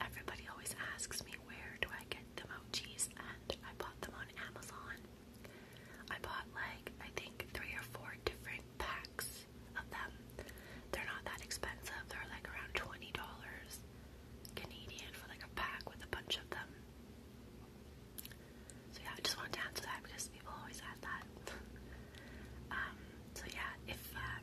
Everybody always asks me where do I get the mochis, and I bought them on Amazon. I bought like I think three or four different packs of them. They're not that expensive. They're like around twenty dollars Canadian for like a pack with a bunch of them. So yeah, I just wanted to answer that because people always ask that. Um, so yeah, if um,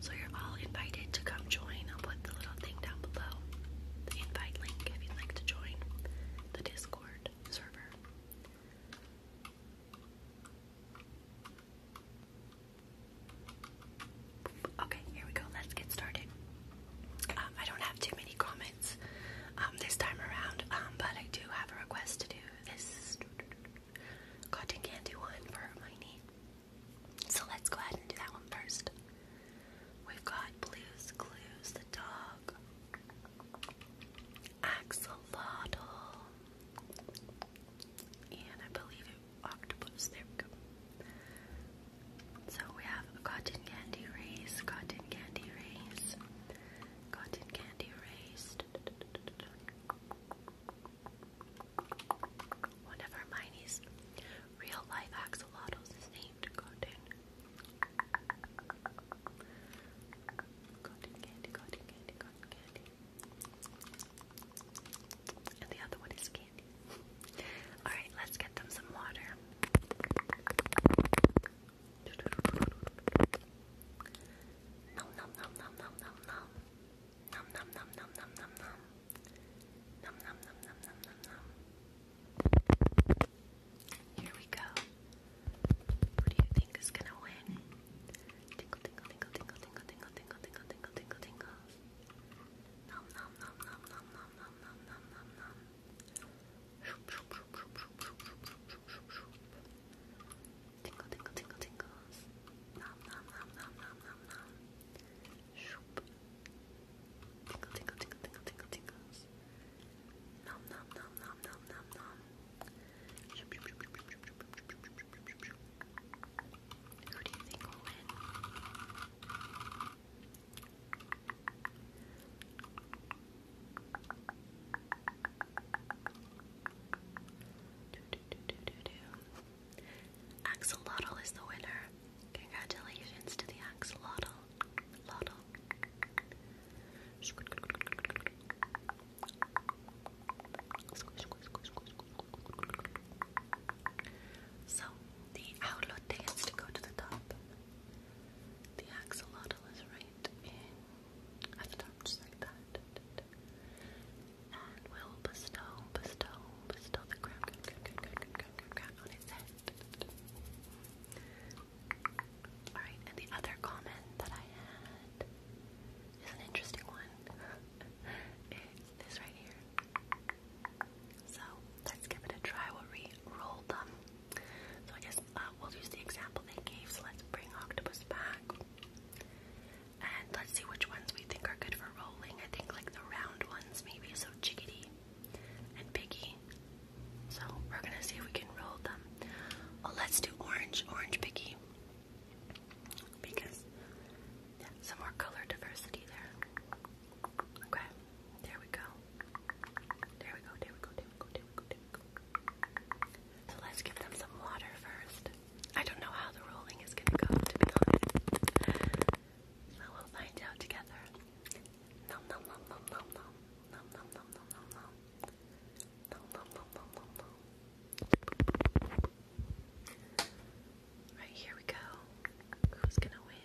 So you're all invited to come join. I'll put the little thing down below, the invite link if you'd like to join the Discord server. Okay, here we go. Let's get started. Um, I don't have too many comments um, this time around, um, but I do have a request to do this cotton candy one for Hermione. So let's go ahead and do that one first. We've got Blues Clues, the dog, Axolotl, and I believe it octopus. There we go. So we have cotton candy race, cotton candy race, cotton candy race. One of Hermione's real life axolotls is named Cotton. Cotton candy, cotton candy, cotton candy. And the other one is candy. Alright, let's get them some water. Nom nom nom nom nom nom nom. Nom nom nom nom nom nom nom. Num Here we go. Who do you think is gonna win? Tingle tingle tingle tingle tingle tingle tingle tingle tingle tingle tingle. Nom nom nom nom nom nom nom nom nom nom nom. Shoop shoop shoop shoop shoop shoop shoop shoop shoop. Tingle tingle tingle tingles. Nom nom nom nom nom nom Shoop. Tingle, tingle, tingle, tingle, tingle, Nom, nom, nom, nom, nom, nom, nom. you Do, do, do, do, do, do. Axolotl is the winner. Congratulations to the Axolotl. Lotl. So, the Aulote has to go to the top. The axolotl is right in at the top, just like that and will bestow, bestow, bestow the crown, on his head. Alright, and the other comment that I had is an interesting one. it's right here. So, let's give it a try. we roll them. So I guess uh, we'll use the example they gave, so let's bring Octopus back. And let's see which ones we think are good for rolling. I think like the round ones maybe, so chickadee and piggy. So we're gonna see if we can roll them. Oh, let's do orange, orange piggy. Because some more color diversity there. Okay, there we go. There we go, there we go, there we go, there we go, there we go. So let's give them some water first. I don't know how the rolling is gonna go, to be honest. we'll find out together. Nom nom nom nom nom nom. Nom nom nom nom nom nom. Nom nom nom nom nom nom. here we go. Who's gonna win?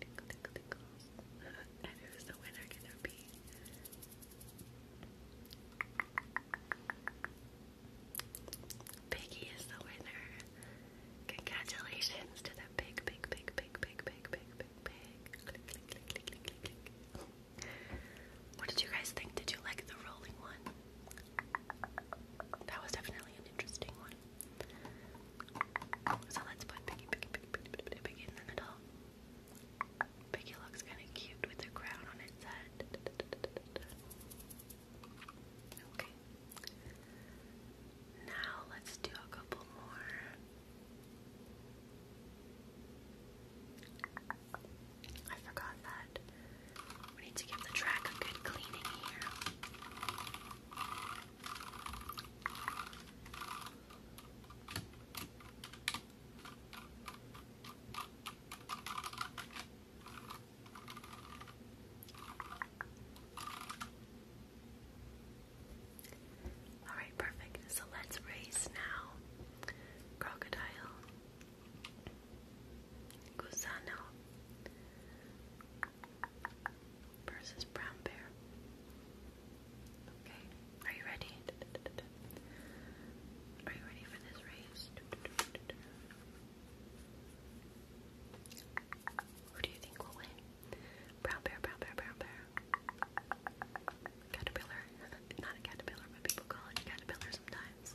Tickle, tickle, tickles. and who's the winner gonna be? Piggy is the winner. Congratulations to the big, big, big, big, big, big, big, big, big. Click, click, click, click, click, click, click. What did you guys think? Did you like the rolling one? That was definitely an interesting one. So let's put Piggy, Piggy, Piggy, Piggy, Piggy in the middle. Piggy looks kind of cute with a crown on its head. Okay. Now let's do a couple more. I forgot that. We need to give the track a good cleaning here. All right, perfect. So let's race now crocodile, gusano, versus brown bear. Okay, are you ready? Are you ready for this race? Who do you think will win? Brown bear, brown bear, brown bear. Caterpillar. Not a caterpillar, but people call it caterpillar sometimes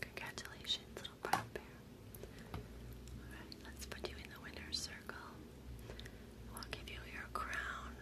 Congratulations, little brown bear. let's put you in the winner's circle. We'll give you your crown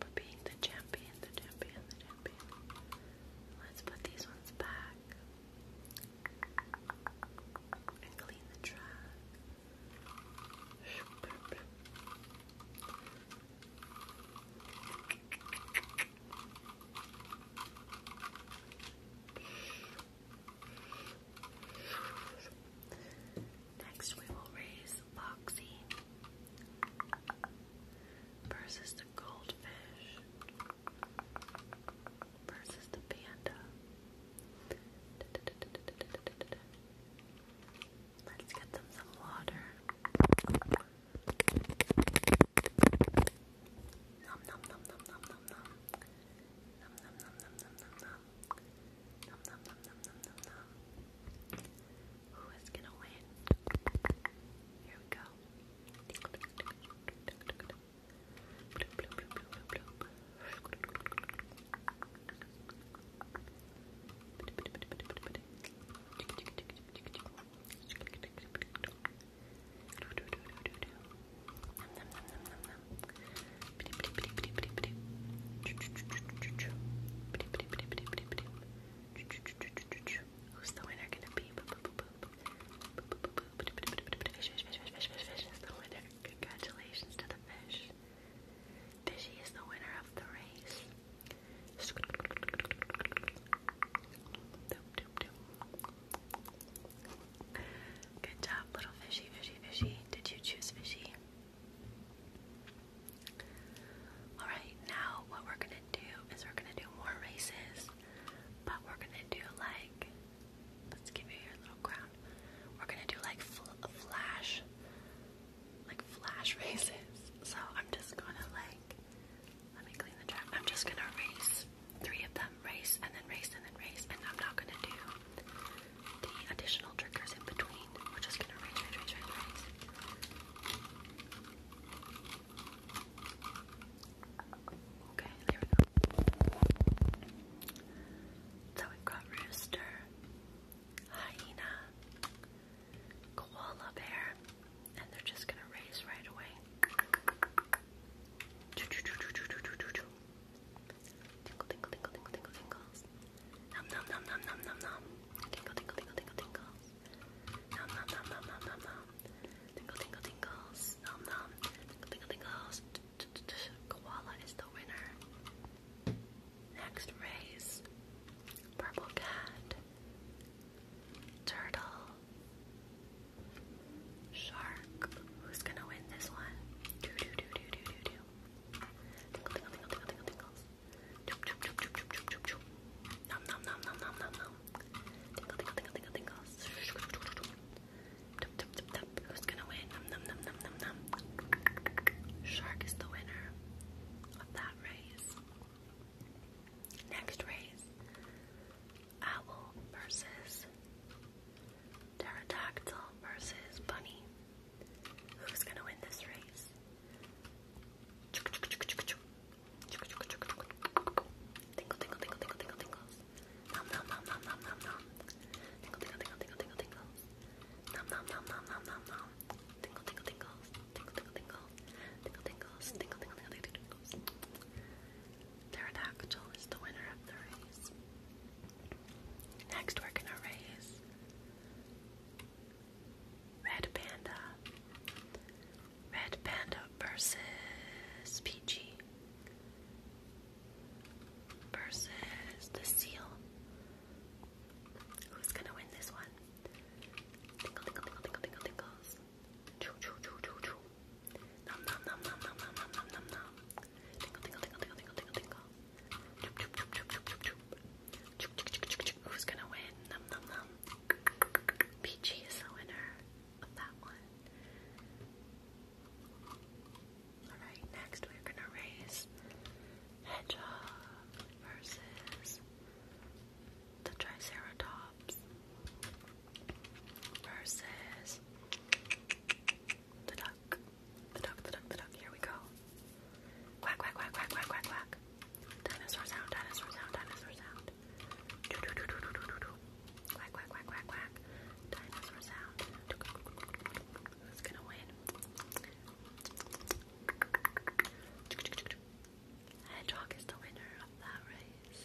for being the champion, the champion, the champion. Let's put these ones back. Next, we will raise Boxy versus the goldfish versus the panda. Let's get them some water. Nom nom nom nom nom nom nom. Nom nom nom nom nom nom nom. Who is gonna win? Here we go. Bloop, bloop, bloop, bloop, bloop, bloop. Who's the winner gonna be? Boop, boop, boop, Fish, is the winner. Congratulations to the fish. Fishy is the winner of the race. Good job, little fishy, fishy, fishy. Did you choose fishy? Alright, now what we're gonna do is we're gonna do more races, but we're gonna do like Let's give you your little crown. We're gonna do like flash, like flash races. So I'm just gonna like, let me clean the track. I'm just gonna race three of them, race and then race and then race, and I'm not gonna do the additional triggers in between. We're just gonna race, race, race, race, race. Okay, there we go. So we've got rooster, hyena, koala bear, and they're just gonna race right away. Tingle, tingle, tingle, tingle, tingle, tingles. Nom, nom, nom, nom, nom, nom, nom. Tingle, tingle, tingle, tingle, tingles. Nom, nom, nom, nom, nom, nom, nom. Tingle, tingle, tingles. Nom, nom. Tingle, tingle, Koala is the winner. Next race. Purple cat. Turtle. Shark. Who's gonna win this one? Do do Tingle, tingle, tingle, tingle, tingle, nom, nom, nom, nom, nom, nom. Shark is the winner of that race. Next race. Owl versus Pterodactyl versus Bunny. Who's gonna win this race? Tingle, tingle, tingle, tingle, tingle, tingles. Nom, nom, nom, nom, nom, nom, nom. Tingle, tingle, tingle, tingle, tingle, tingles. Nom, nom, nom, nom, nom, nom, nom. Tingle, tingle, tingles. Tingle, tingle, tingle. Tingle, tingles. Tingle, tingle, tingle, tingle, tingles. Pterodactyl is the winner of the race. Next, we're gonna raise Red Panda. Red Panda versus Peachy versus the Seal. Who's gonna win this one? Tinkle, tinkle, tinkle, tinkle, tinkle, tinkles. Choo, choo, choo, Who's gonna win? Nom, nom, nom. Peachy is the winner of that one. Alright, next we're gonna race Hedgehog versus the Triceratops versus the duck. The duck, the duck, the duck. Here we go. Quack, quack, quack, quack, quack, quack, quack. Dinosaur sound, dinosaur sound, dinosaur sound. Quack quack quack quack quack. Dinosaur sound. Who's gonna win? Hedgehog is the winner of that race.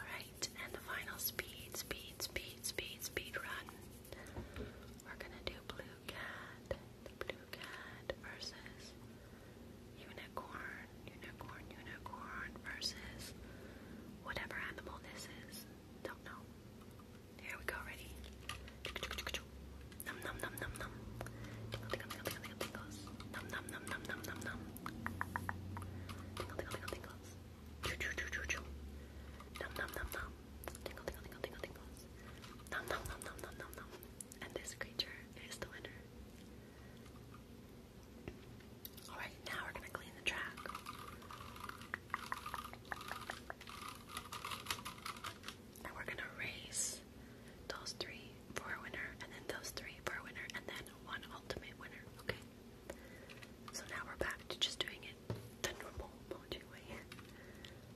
Alright, and the final speed, speed, speed, speed, speed run. We're gonna do blue cat, the blue cat versus unicorn, unicorn, unicorn versus whatever animal this is. Don't know. Here we go, ready? Num num num num num. Tingle Num num num num num num num. Tingle Choo choo choo choo Num num num num. Tingle num num num num num num. And this creature is the winner. Alright, now we're gonna clean the track. And we're gonna race those three for a winner, and then those three for a winner, and then one ultimate winner, okay? So now we're back to just doing it the normal mojo way.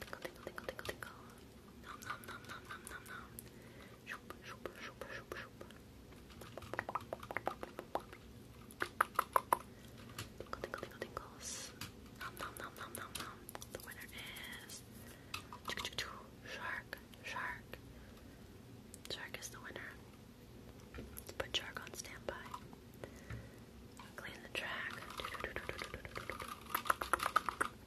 Tickle, tickle, tickle, tickle, tickle. Nom, nom, nom, nom, nom, nom, nom. Shoop, shoop, shoop, shoop, shoop. Tickle, tickle, tickle, tickles. Nom, nom, nom, nom, nom, nom. The winner is... Shark, shark. Shark is the winner. Let's put shark on standby. Clean the track.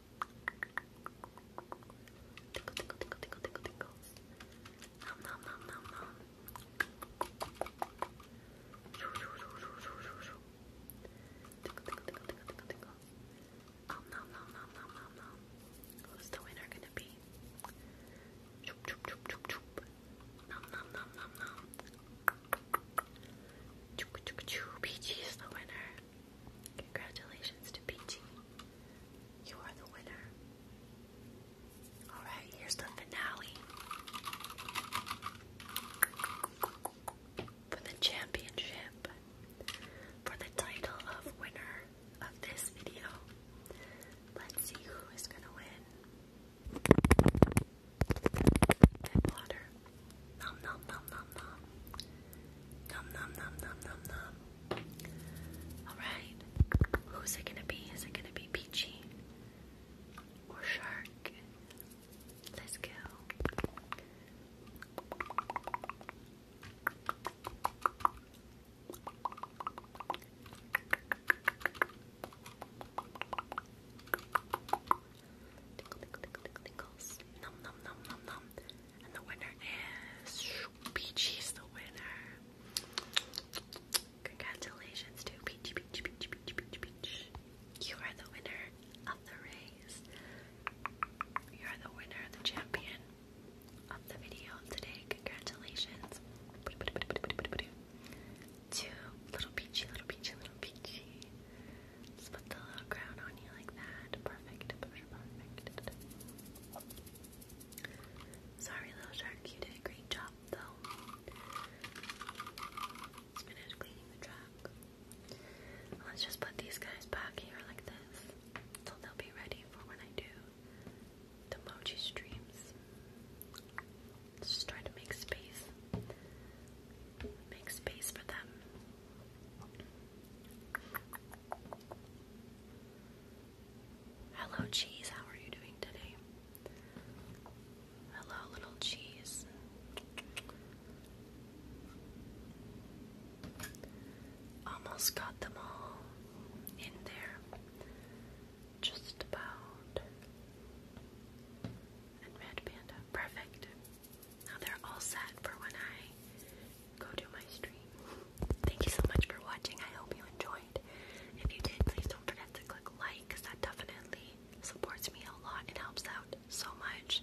Tickle, tickle, tickle, tickle, tickle, tickles. Nom, nom, nom, nom, nom. Shoo, shoo, shoo, shoo, shoo, shoo, shoo. Tickle, tickle, tickle, tickle, tickle, tickle. Om nom, nom, nom, nom, nom, nom. Who's the winner gonna be? Choop, choop, choop, choop, choop. Nom, nom, nom, nom, nom. PG is the winner. Congratulations to PG. You are the winner. Alright, here's the finale. For the championship. For the title of winner of this video. Let's see who is gonna win. Tap water. Nom nom nom nom nom. Nom nom nom nom nom nom. Alright. Who's it gonna be? Is it gonna be Peachy? Or Shark? Let's go. Tickle, tickle, tickle, tickle, tickles. Num, num, num, num, num. And the winner is Peachy's the winner. Congratulations to Peachy, Peachy, Peachy, Peachy, Peachy, Peach. You are the winner of the race. You are the winner, the champion of the video today. Congratulations two little peachy, little peachy, little peachy. Just put the little crown on you like that. Perfect, perfect, perfect. Sorry, little shark, you did a great job though. Let's finish cleaning the truck. Let's just put these guys back here like this, so they'll be ready for when I do the mochi streams. Let's just try to make space Make space for them. Hello, cheese. How are you doing today? Hello, little cheese. Almost got them all in there. Just about and Red Panda. Perfect. Now they're all set for when I go do my stream. Thank you so much for watching. I hope you enjoyed. If you did, please don't forget to click like because that definitely supports me a lot. It helps out so much.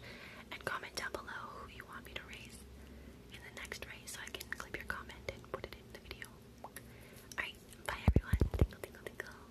And comment down below who you want me to race in the next race so I can clip your comment and put it in the video. Alright, bye everyone. Tingle, tingle, tingle.